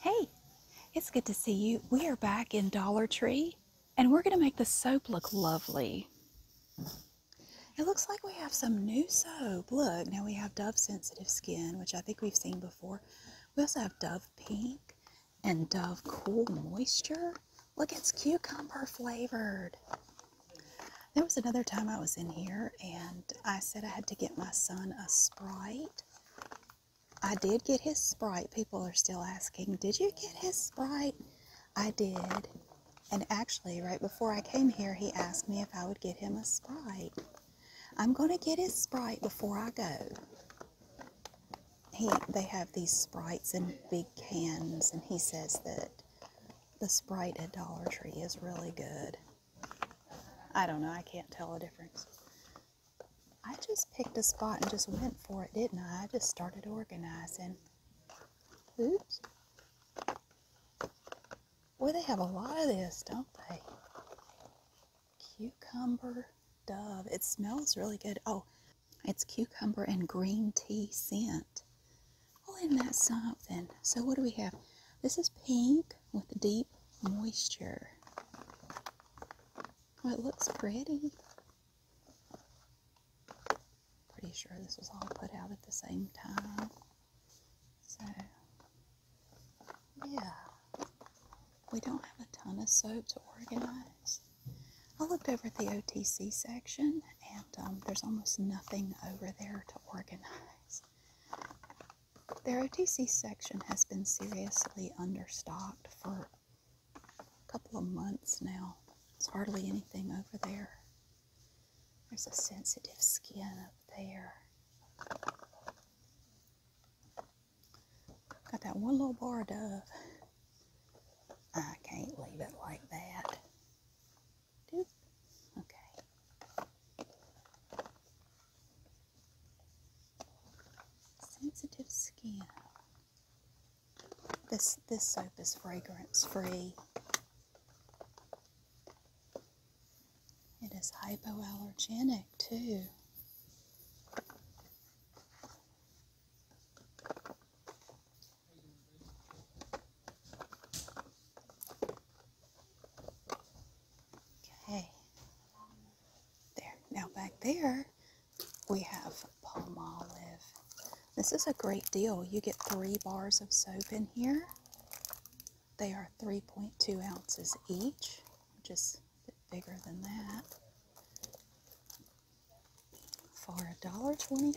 Hey, it's good to see you. We are back in Dollar Tree and we're going to make the soap look lovely. It looks like we have some new soap. Look, now we have Dove Sensitive Skin, which I think we've seen before. We also have Dove Pink and Dove Cool Moisture. Look, it's cucumber flavored. There was another time I was in here and I said I had to get my son a Sprite I did get his Sprite. People are still asking, Did you get his Sprite? I did. And actually, right before I came here, he asked me if I would get him a Sprite. I'm going to get his Sprite before I go. He, they have these Sprites in big cans, and he says that the Sprite at Dollar Tree is really good. I don't know. I can't tell the difference. I just picked a spot and just went for it, didn't I? I just started organizing. Oops. Boy, they have a lot of this, don't they? Cucumber dove. It smells really good. Oh, it's cucumber and green tea scent. Oh, isn't that something? So what do we have? This is pink with deep moisture. Oh, it looks pretty. Pretty sure this was all put out at the same time. So, yeah. We don't have a ton of soap to organize. I looked over at the OTC section and um, there's almost nothing over there to organize. Their OTC section has been seriously understocked for a couple of months now. There's hardly anything over there. There's a sensitive skin up there. Got that one little bar dove. I can't leave it like that. Okay. Sensitive skin. This this soap is fragrance free. It is hypoallergenic too. Okay. There. Now back there, we have palmolive. This is a great deal. You get three bars of soap in here. They are 3.2 ounces each, which is bigger than that. For $1.25.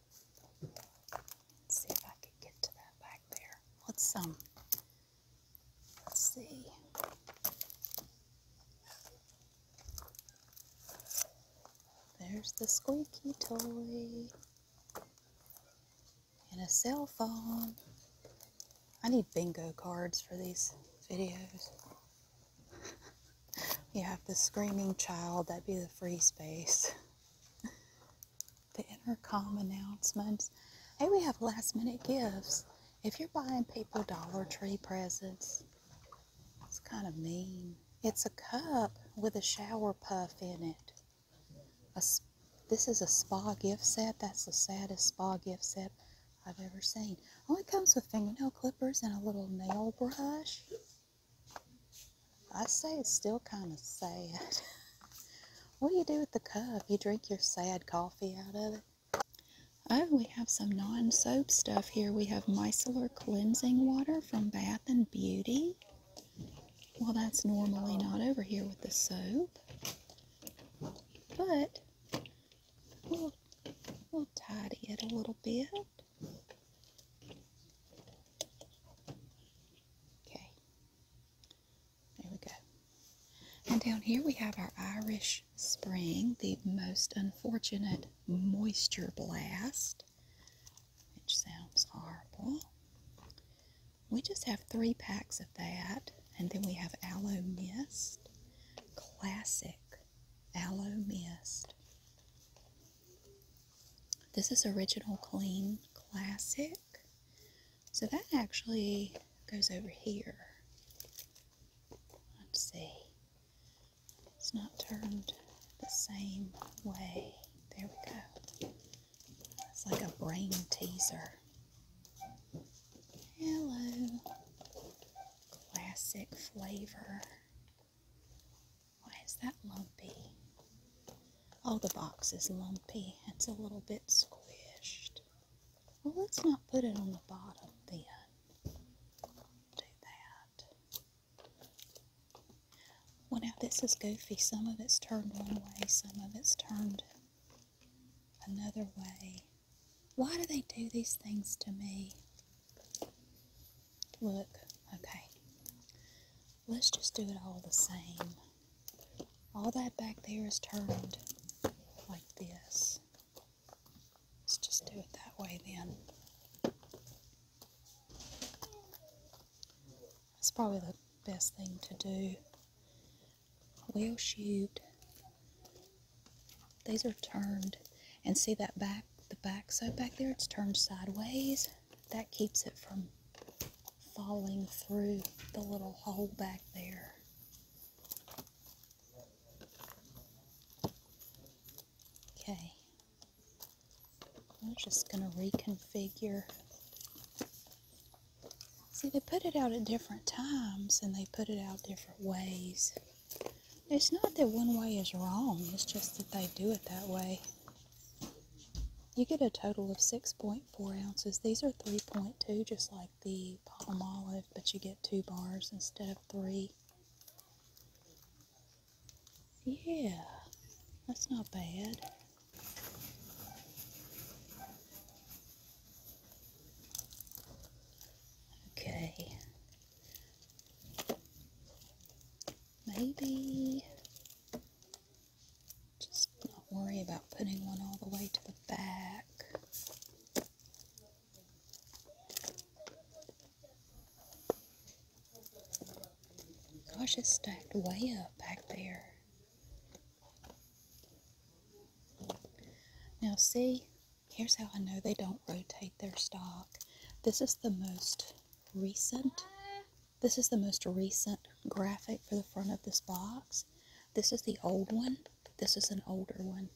Let's see if I could get to that back there. Um, let's um see. There's the squeaky toy. And a cell phone. I need bingo cards for these videos. you have the screaming child, that'd be the free space. the intercom announcements. Hey, we have last minute gifts. If you're buying people Dollar Tree presents, it's kind of mean. It's a cup with a shower puff in it. A, this is a spa gift set. That's the saddest spa gift set I've ever seen. Oh, it comes with fingernail clippers and a little nail brush. I say it's still kind of sad. what do you do with the cup? You drink your sad coffee out of it? Oh, we have some non soap stuff here. We have micellar cleansing water from Bath and Beauty. Well, that's normally not over here with the soap. But we'll, we'll tidy it a little bit. Okay. There we go. And down here we have our Irish Spring, the most unfortunate moisture blast, which sounds horrible. We just have three packs of that. And then we have Aloe Mist, classic Aloe Mist. This is Original Clean Classic. So that actually goes over here. Let's see. It's not turned the same way. There we go. It's like a brain teaser. Hello. Classic flavor. Why is that lumpy? Oh, the box is lumpy. It's a little bit squished. Well, let's not put it on the bottom then. Do that. Well, now this is goofy. Some of it's turned one way, some of it's turned another way. Why do they do these things to me? Look, okay. Let's just do it all the same. All that back there is turned like this. Let's just do it that way then. That's probably the best thing to do. Well will These are turned. And see that back, the back side back there? It's turned sideways that keeps it from falling through the little hole back there. Okay, I'm just going to reconfigure. See, they put it out at different times and they put it out different ways. It's not that one way is wrong, it's just that they do it that way. You get a total of 6.4 ounces. These are 3.2, just like the palm olive, but you get two bars instead of three. Yeah, that's not bad. Okay. Maybe just not worry about putting one all the way to the back. Gosh, it's stacked way up back there. Now see, here's how I know they don't rotate their stock. This is the most recent this is the most recent graphic for the front of this box. This is the old one. This is an older one.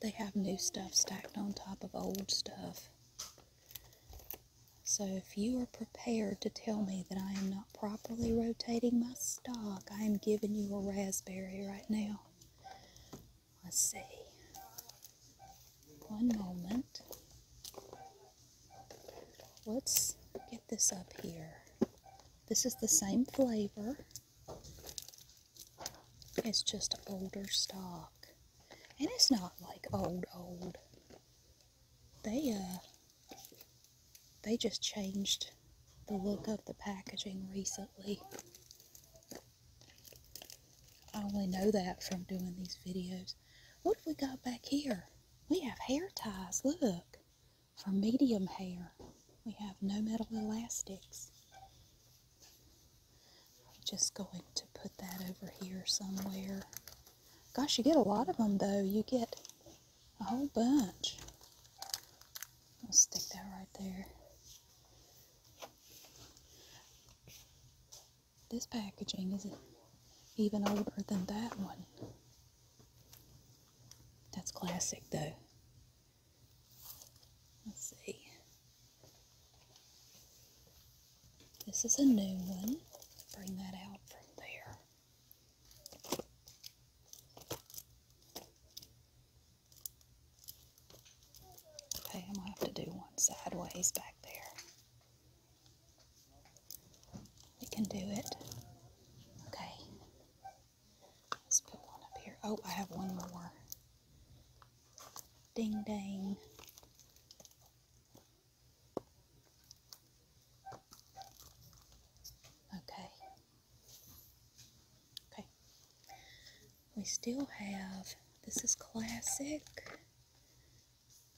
They have new stuff stacked on top of old stuff. So if you are prepared to tell me that I am not properly rotating my stock, I am giving you a raspberry right now. Let's see one moment. Let's get this up here. This is the same flavor. It's just older stock. And it's not like old, old. They, uh, they just changed the look of the packaging recently. I only know that from doing these videos. What have we got back here? We have hair ties, look. For medium hair, we have no metal elastics. I'm just going to put that over here somewhere. Gosh, you get a lot of them though. You get a whole bunch. I'll stick that right there. This packaging is even older than that one. That's classic though. Let's see. This is a new one. Bring that out from there. Okay, I'm going to have to do one sideways back there. We can do it. Okay. Let's put one up here. Oh, I have one more. Ding ding. Okay. Okay. We still have, this is classic.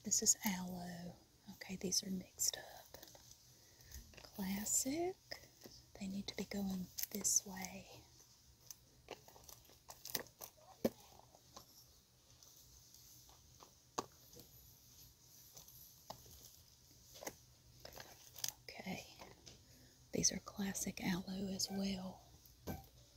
This is aloe. Okay, these are mixed up. Classic. They need to be going this way. Okay, these are classic aloe as well.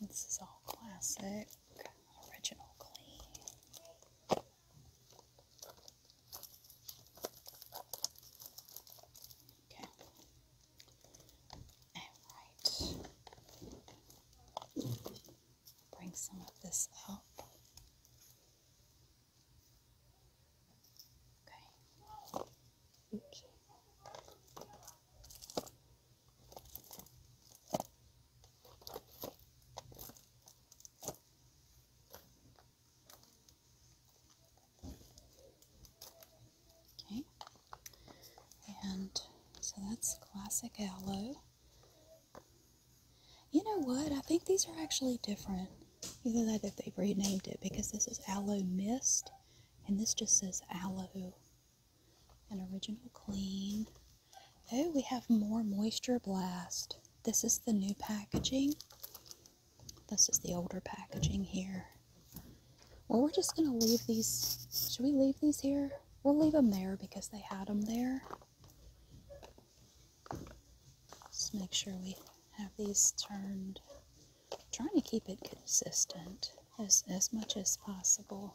This is all classic, original clean. Okay. All right. Bring some of this up. Okay. Oops. Okay, and so that's classic aloe. You know what? I think these are actually different. Either that they've renamed it because this is Aloe Mist and this just says Aloe. An original clean. Oh, we have more Moisture Blast. This is the new packaging. This is the older packaging here. Well, we're just going to leave these. Should we leave these here? We'll leave them there because they had them there. Just make sure we have these turned trying to keep it consistent as, as much as possible.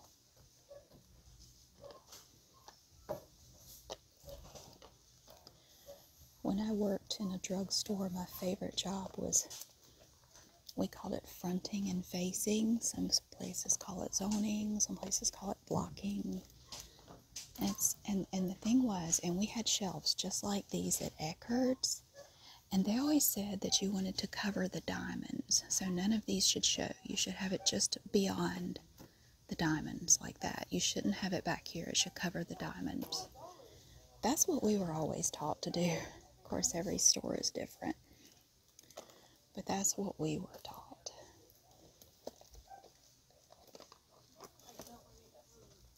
When I worked in a drugstore, my favorite job was we called it fronting and facing. Some places call it zoning, some places call it blocking. And, and, and the thing was, and we had shelves just like these at Eckerd's, and they always said that you wanted to cover the diamonds, so none of these should show. You should have it just beyond the diamonds like that. You shouldn't have it back here, it should cover the diamonds. That's what we were always taught to do. Of course, every store is different, but that's what we were taught.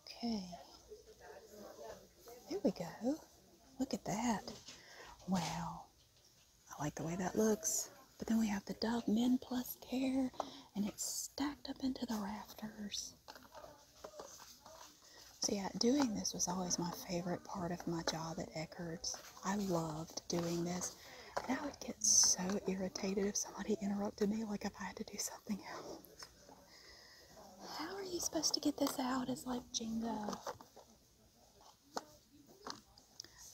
Okay. There we go. Look at that. Wow. I like the way that looks. But then we have the Dove Men Plus Care, and it's stacked up into the rafters. See, yeah, doing this was always my favorite part of my job at Eckerd's. I loved doing this, and I would get so irritated if somebody interrupted me, like if I had to do something else. How are you supposed to get this out? It's like Jenga.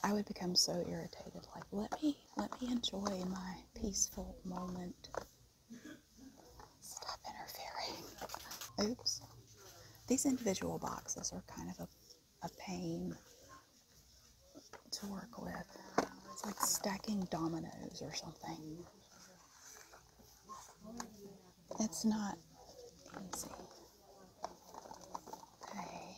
I would become so irritated. Like, let me let me enjoy my peaceful moment. Stop interfering. Oops. These individual boxes are kind of a, a pain to work with. It's like stacking dominoes or something. It's not easy. Okay.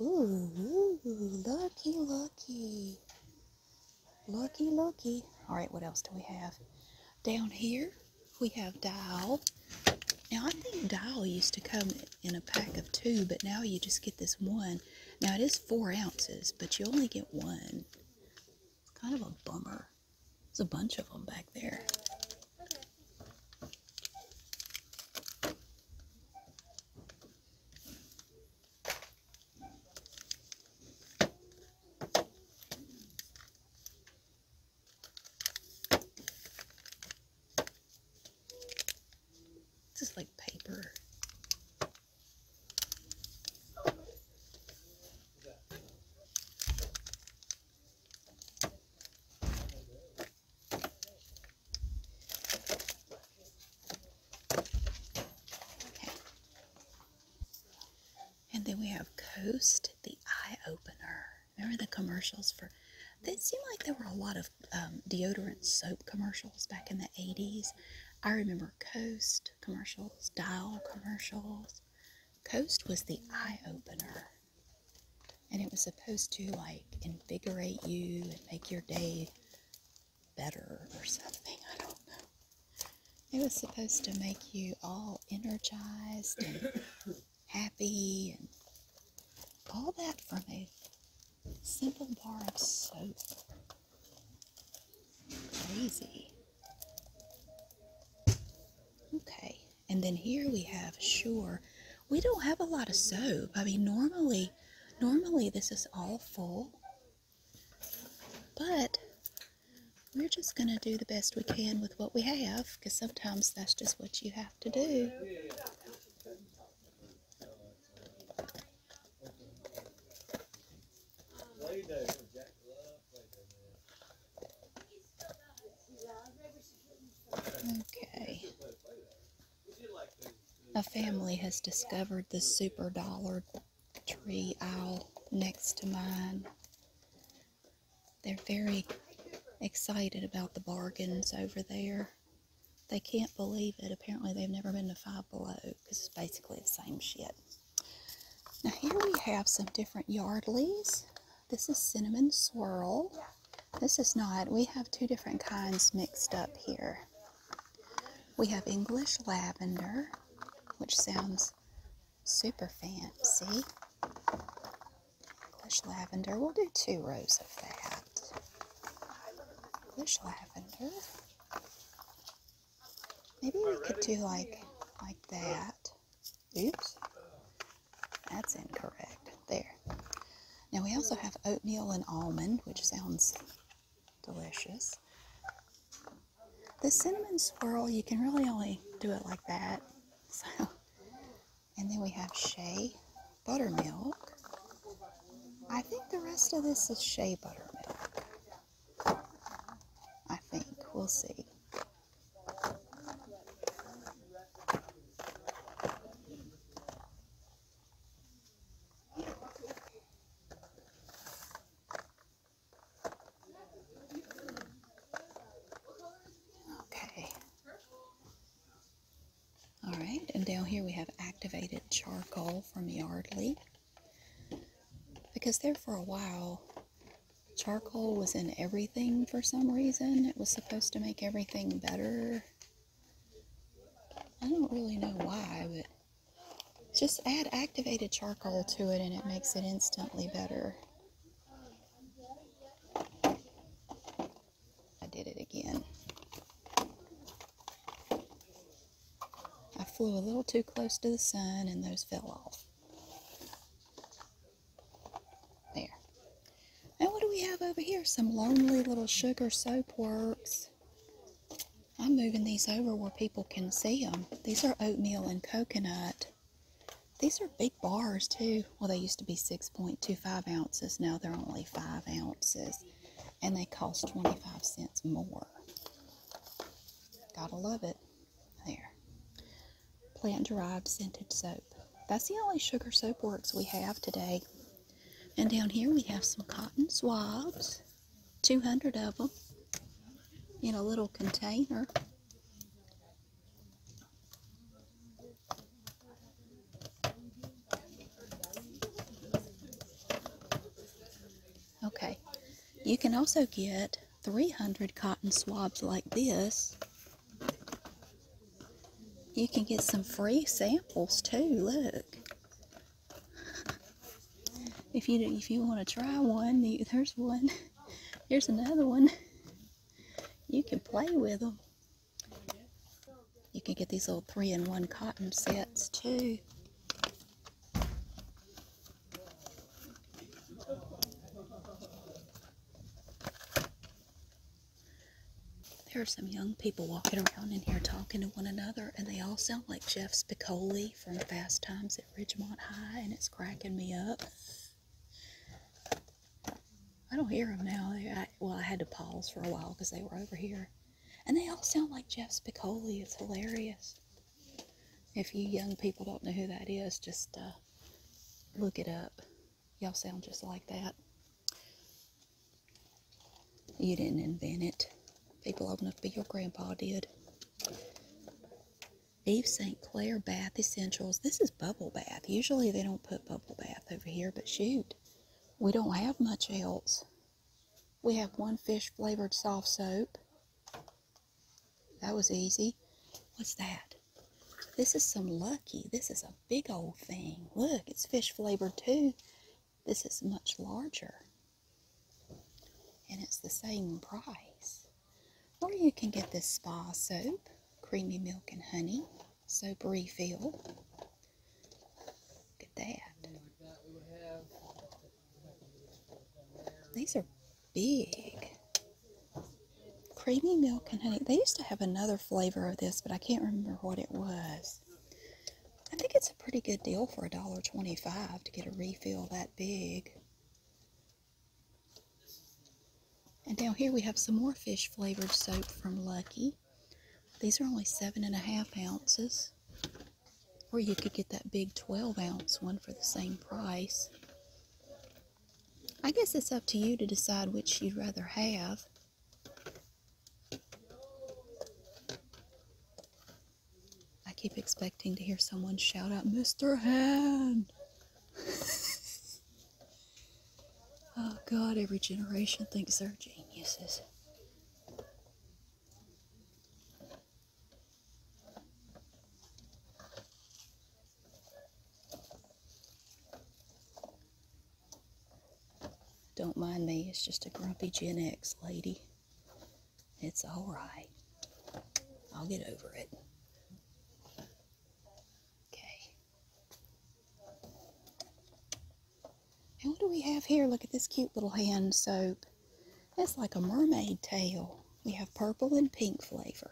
Ooh, lucky, lucky. Lucky, lucky. All right, what else do we have? Down here, we have dial. Now, I think dial used to come in a pack of two, but now you just get this one. Now, it is four ounces, but you only get one. Kind of a bummer. There's a bunch of them back there. This is like paper. And then we have Coast, the eye opener. Remember the commercials for, it seemed like there were a lot of um, deodorant soap commercials back in the 80s. I remember Coast commercials, Dial commercials. Coast was the eye opener. And it was supposed to like invigorate you and make your day better or something. I don't know. It was supposed to make you all energized and happy and all that from a simple bar of soap. Crazy. Okay. And then here we have Sure. We don't have a lot of soap. I mean, normally, normally this is all full. But we're just going to do the best we can with what we have because sometimes that's just what you have to do. Okay. A family has discovered the super dollar tree owl next to mine. They're very excited about the bargains over there. They can't believe it. Apparently, they've never been to Five Below because it's basically the same shit. Now, here we have some different Yardleys. This is cinnamon swirl. This is not. We have two different kinds mixed up here. We have English lavender, which sounds super fancy. English lavender. We'll do two rows of that. English lavender. Maybe we could do like like that. Oops. That's incorrect. There. Now we also have oatmeal and almond, which sounds delicious. The cinnamon swirl, you can really only do it like that. So, and then we have shea buttermilk. I think the rest of this is shea buttermilk. I think. We'll see. Okay. All right, and down here we have activated charcoal from Yardley. Because there for a while, charcoal was in everything for some reason. It was supposed to make everything better? I don't really know why, but just add activated charcoal to it and it makes it instantly better. I did it again. I flew a little too close to the sun and those fell off. There. And what do we have over here? Some lonely little sugar soapworks. I'm moving these over where people can see them. These are oatmeal and coconut. These are big bars too. Well, they used to be 6.25 ounces. Now they're only 5 ounces. And they cost 25 cents more. Gotta love it. There plant derived scented soap. That's the only sugar soap works we have today. And down here we have some cotton swabs, 200 of them in a little container. Okay, you can also get 300 cotton swabs like this you can get some free samples too, look. If you if you want to try one, there's one. Here's another one. You can play with them. You can get these little three-in-one cotton sets too. There are some young people walking around in here talking to one another, and they all sound like Jeff Spicoli from Fast Times at Ridgemont High, and it's cracking me up. I don't hear them now. I, well, I had to pause for a while because they were over here. And they all sound like Jeff Spicoli. It's hilarious. If you young people don't know who that is, just uh, look it up. Y'all sound just like that. You didn't invent it. People old enough to be your grandpa did. Eve St. Clair Bath Essentials. This is bubble bath. Usually they don't put bubble bath over here, but shoot, we don't have much else. We have one fish flavored soft soap. That was easy. What's that? This is some Lucky. This is a big old thing. Look, it's fish flavored too. This is much larger. And it's the same price. Or you can get this spa soap, creamy milk and honey, soap refill. Look at that. These are big creamy milk and honey. They used to have another flavor of this, but I can't remember what it was. I think it's a pretty good deal for $1.25 to get a refill that big. And down here we have some more fish flavored soap from Lucky. These are only seven and a half ounces. Or you could get that big 12 ounce one for the same price. I guess it's up to you to decide which you'd rather have. I keep expecting to hear someone shout out, Mr. Hand! oh god, every generation thinks they're geniuses. Don't mind me, it's just a grumpy Gen X lady. It's alright. I'll get over it. Okay. And what do we have here? Look at this cute little hand soap. It's like a mermaid tail. We have purple and pink flavor.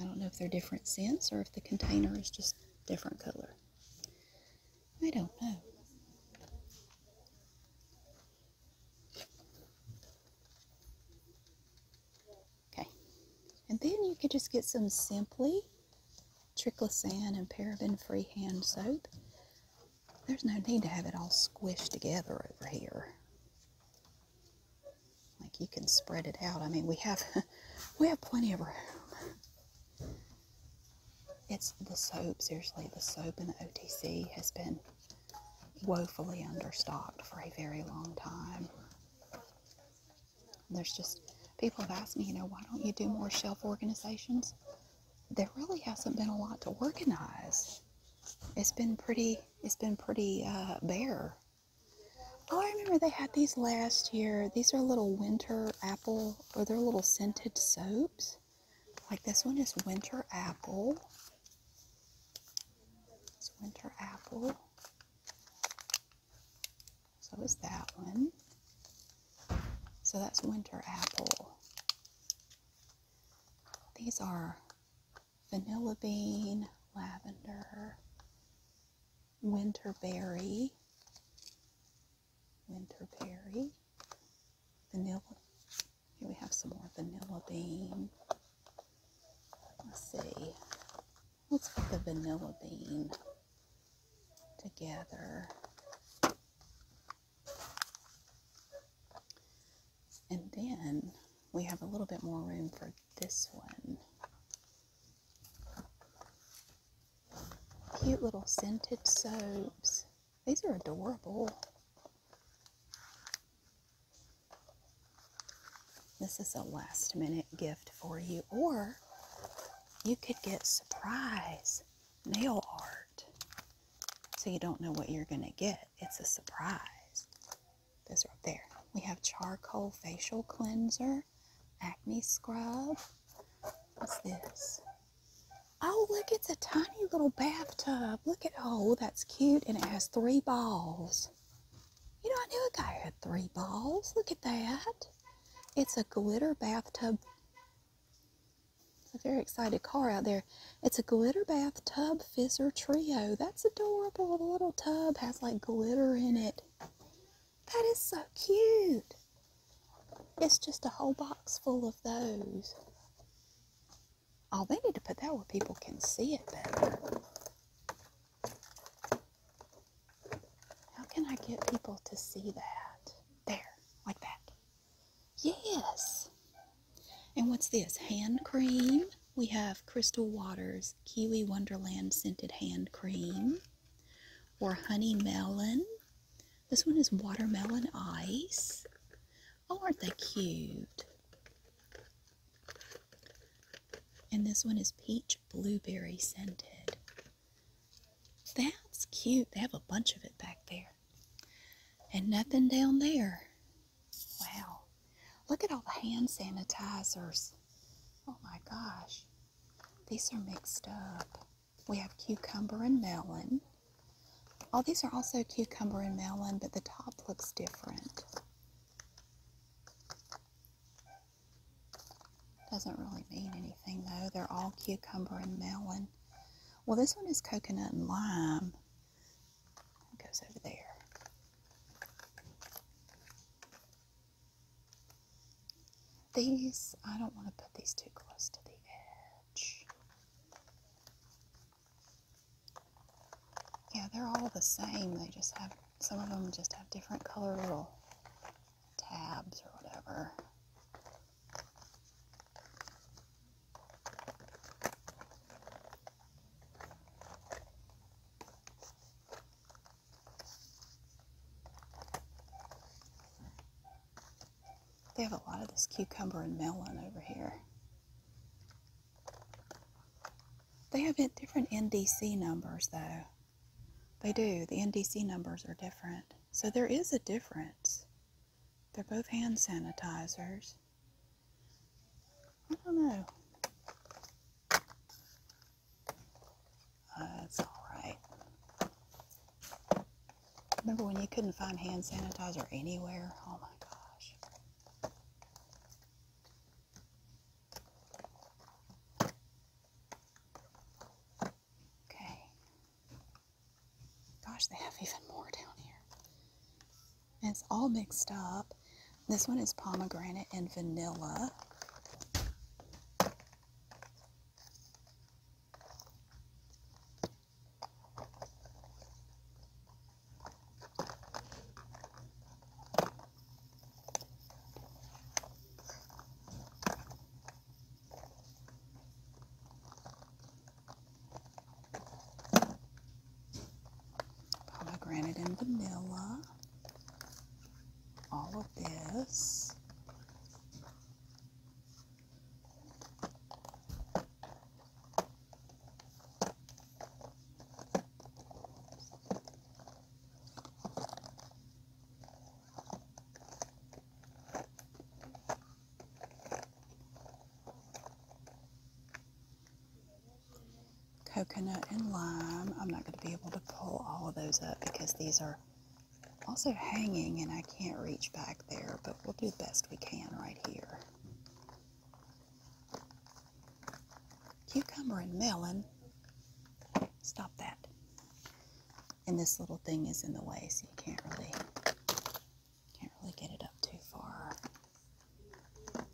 I don't know if they're different scents or if the container is just different color. I don't know. Okay. And then you could just get some Simply triclosan and paraben-free hand soap. There's no need to have it all squished together over here. Like you can spread it out. I mean, we have we have plenty of room. It's the soap, Usually, the soap in the OTC has been woefully understocked for a very long time. There's just people have asked me, you know, why don't you do more shelf organizations? There really hasn't been a lot to organize. It's been pretty. It's been pretty uh, bare Oh, I remember they had these last year. These are little winter apple, or they're little scented soaps. Like this one is winter apple. It's winter apple. So is that one. So that's winter apple. These are vanilla bean, lavender, winterberry, winterberry, vanilla. Here we have some more vanilla bean. Let's see. Let's put the vanilla bean together. And then we have a little bit more room for this one. Cute little scented soaps. These are adorable. This is a last minute gift for you. Or you could get surprise nail art. So you don't know what you're going to get. It's a surprise. Those are up there. We have charcoal facial cleanser, acne scrub. What's this? Oh, look, it's a tiny little bathtub. Look at, oh, that's cute. And it has three balls. You know, I knew a guy had three balls. Look at that. It's a glitter bathtub. It's a very excited car out there. It's a glitter bathtub Fizzer Trio. That's adorable. The little tub has like glitter in it. That is so cute. It's just a whole box full of those. Oh, they need to put that where people can see it better. How can I get people to see that? There, like that. Yes. And what's this? Hand cream. We have Crystal Waters Kiwi Wonderland Scented Hand Cream or Honey Melon. This one is Watermelon Ice. Oh, aren't they cute? And this one is Peach Blueberry Scented. That's cute. They have a bunch of it back there. And nothing down there. Wow. Look at all the hand sanitizers. Oh my gosh. These are mixed up. We have cucumber and melon. All oh, these are also cucumber and melon, but the top looks different. Doesn't really mean anything though. They're all cucumber and melon. Well, this one is coconut and lime goes over there. These, I don't want to put these too close to the edge. Yeah, they're all the same. They just have, some of them just have different color little tabs or whatever. They have a lot of this cucumber and melon over here. They have different NDC numbers though. They do. The NDC numbers are different. So there is a difference. They're both hand sanitizers. I don't know. That's uh, alright. Remember when you couldn't find hand sanitizer anywhere? Oh my gosh. Okay. Gosh, they have even more down here it's all mixed up. This one is pomegranate and vanilla pomegranate and vanilla, all of this coconut and lime. I'm not going to be able to pull all of those up because these are also hanging and I can't reach back there, but we'll do the best we can right here. Cucumber and melon. Stop that. And this little thing is in the way, so you can't really can't really get it up too far. Oh,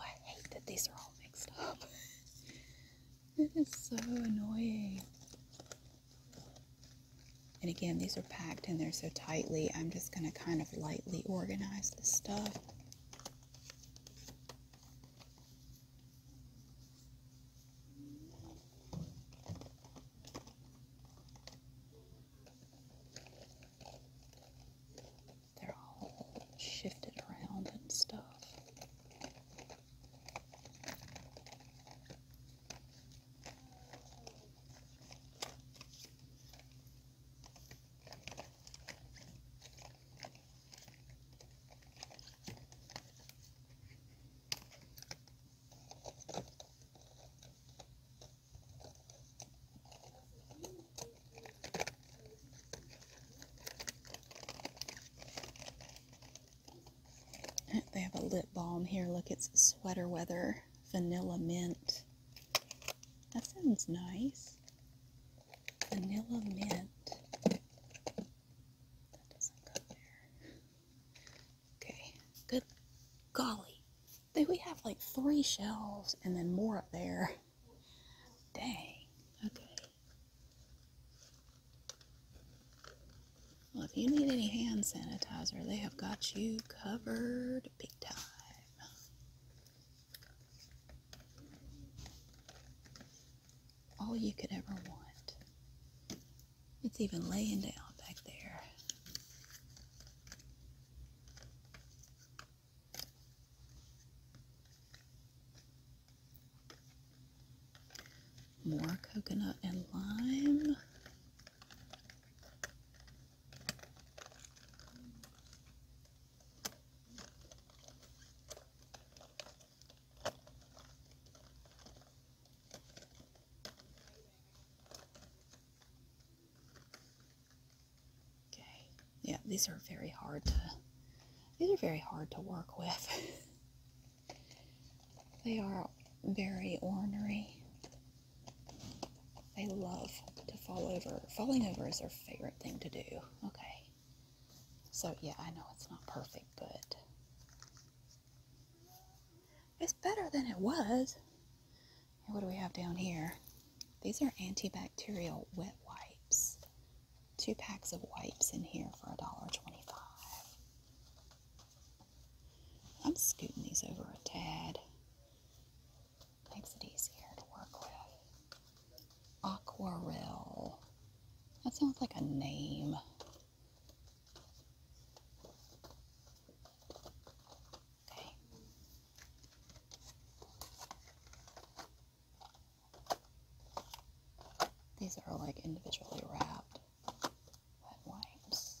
I hate that these are all mixed up. it is so annoying. And again, these are packed in there so tightly. I'm just going to kind of lightly organize the stuff. They're all shifted around and stuff. They have a lip balm here. Look, it's Sweater Weather Vanilla Mint. That sounds nice. Vanilla Mint. Okay, good golly. do we have like three shelves and then more up there? Dang. Okay. Well, if you need any hand sanitizer, they have got you covered big time. All you could ever want. It's even laying down back there. More coconut and lime. Okay. Yeah, these are very hard to these are very hard to work with. they are very ornery. They love to fall over. Falling over is their favorite thing to do. Okay. So yeah, I know it's not perfect, but it's better than it was. what do we have down here? These are antibacterial wet wipes. Two packs of wipes in here for a dollar 25 i I'm scooting these over a tad. Makes it easier to work with. Aquarel. That sounds like a name. Okay. These are like individually wrapped wet wipes.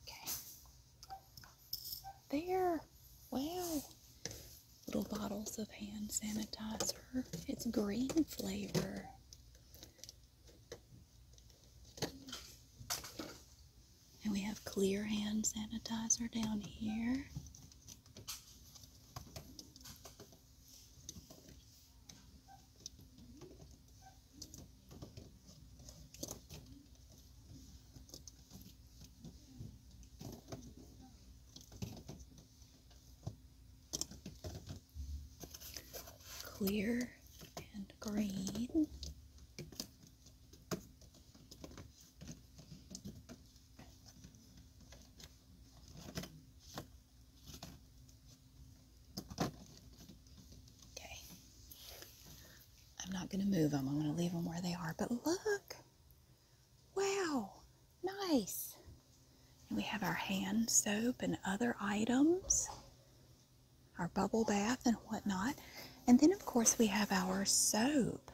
Okay. There. Wow. Little bottles of hand sanitizer. It's green flavor. And we have clear hand sanitizer down here clear and green. Okay. I'm not going to move them. I'm going to leave them where they are. But look! Wow! Nice. And we have our hand soap and other items, our bubble bath and whatnot. And then, of course, we have our soap.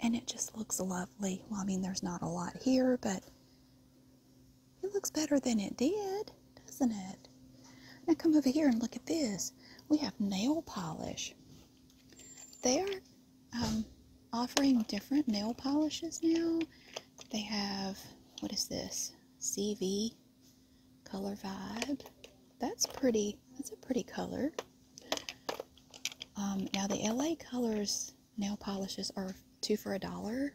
And it just looks lovely. Well, I mean, there's not a lot here, but it looks better than it did, doesn't it? Now come over here and look at this. We have nail polish. They are um, offering different nail polishes now. They have, what is this? CV Color Vibe. That's pretty, that's a pretty color. Um, now the LA Colors nail polishes are two for a dollar.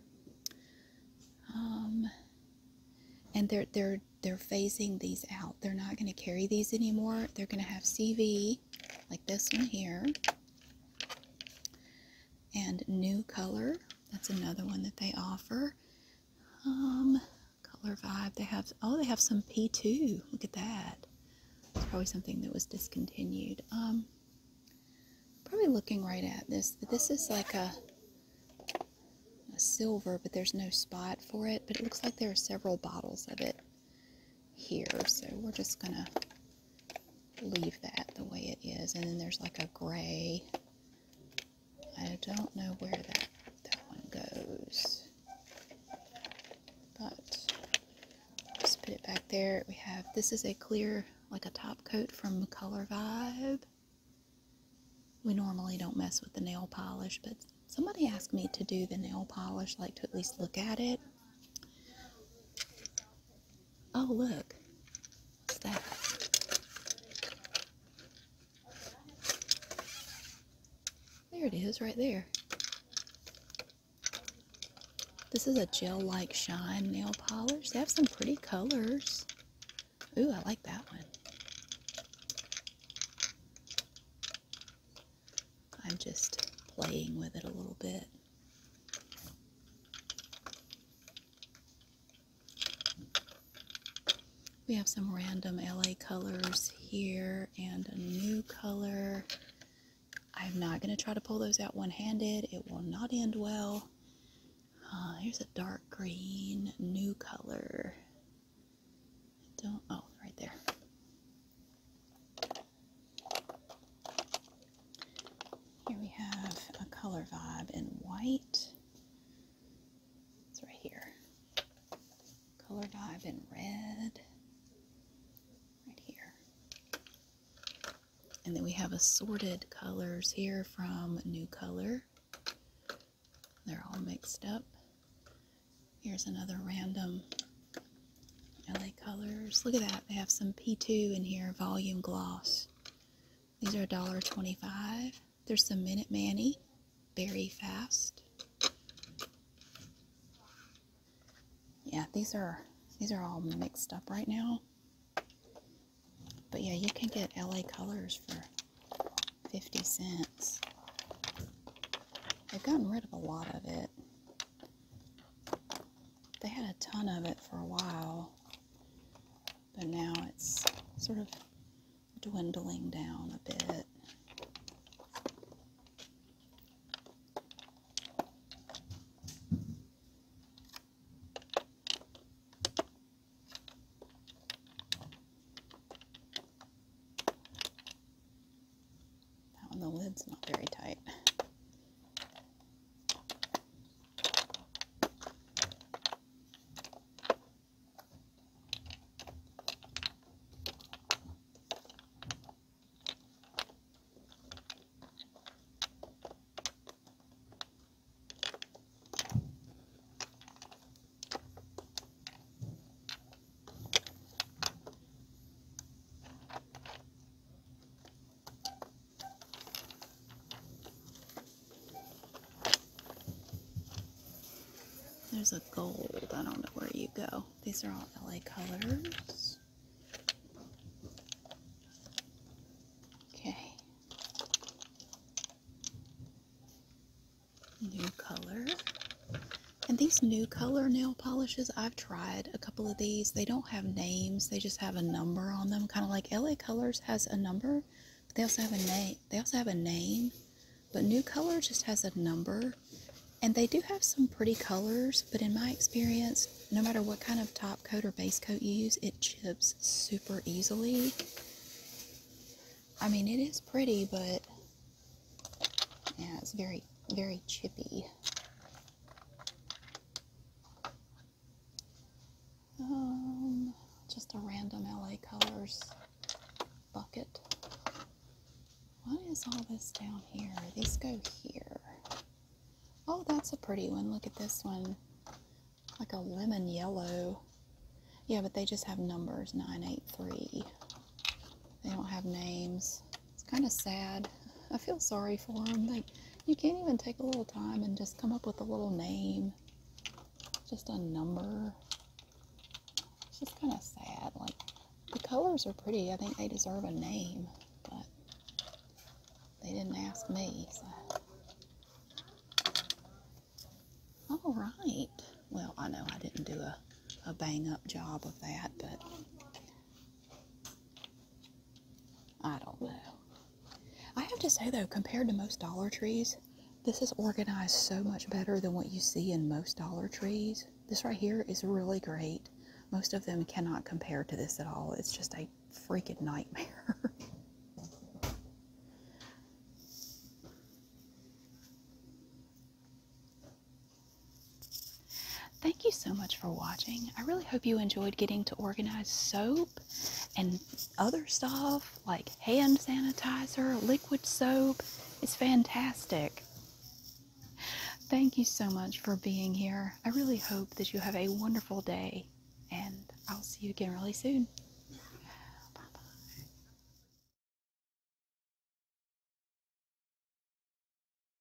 Um, and they're, they're, they're phasing these out. They're not going to carry these anymore. They're going to have CV like this one here and new color. That's another one that they offer. Um, color vibe. They have oh they have some P2. Look at that. It's probably something that was discontinued. Um, probably looking right at this. This is like a a silver, but there's no spot for it. But it looks like there are several bottles of it here. So we're just gonna leave that the way it is. And then there's like a gray. I don't know where that, that one goes. But just put it back there. We have, this is a clear, like a top coat from Color Vibe. We normally don't mess with the nail polish, but somebody asked me to do the nail polish, like to at least look at it. Oh, look. What's that? There it is, right there. This is a gel-like shine nail polish. They have some pretty colors. Ooh, I like that one. I'm just playing with it a little bit. We have some random LA colors here and a new color. I'm not going to try to pull those out one-handed. It will not end well. Uh, here's a dark green new color. don't, oh, right there. Here we have a color vibe in white. It's right here. Color vibe in red. Right here. And then we have assorted colors here from New Color. They're all mixed up. Here's another random LA Colors. Look at that. They have some P2 in here, volume gloss. These are $1.25. There's some Minute Manny, very fast. Yeah, these are these are all mixed up right now. But yeah, you can get LA Colors for 50 cents. i have gotten rid of a lot of it they had a ton of it for a while, but now it's sort of dwindling down a bit. That one, the lid's not very tight. There's a gold. I don't know where you go. These are all LA colors. Okay. New color. And these new color nail polishes. I've tried a couple of these. They don't have names. They just have a number on them. Kind of like LA Colors has a number, but they also have a name. They also have a name, but New Color just has a number. And they do have some pretty colors, but in my experience, no matter what kind of top coat or base coat you use, it chips super easily. I mean, it is pretty, but yeah, it's very, very chippy. Um, just a random LA Colors bucket. What is all this down here? These go here. Oh, that's a pretty one. Look at this one. Like a lemon yellow. Yeah, but they just have numbers 983. They don't have names. It's kind of sad. I feel sorry for them. Like, you can't even take a little time and just come up with a little name, just a number. It's just kind of sad. Like, the colors are pretty. I think they deserve a name, but they didn't ask me, All right. Well, I know I didn't do a, a bang up job of that, but I don't know. I have to say though, compared to most Dollar Trees, this is organized so much better than what you see in most Dollar Trees. This right here is really great. Most of them cannot compare to this at all. It's just a freaking nightmare. Thank you so much for watching. I really hope you enjoyed getting to organize soap and other stuff like hand sanitizer, liquid soap. It's fantastic. Thank you so much for being here. I really hope that you have a wonderful day and I'll see you again really soon.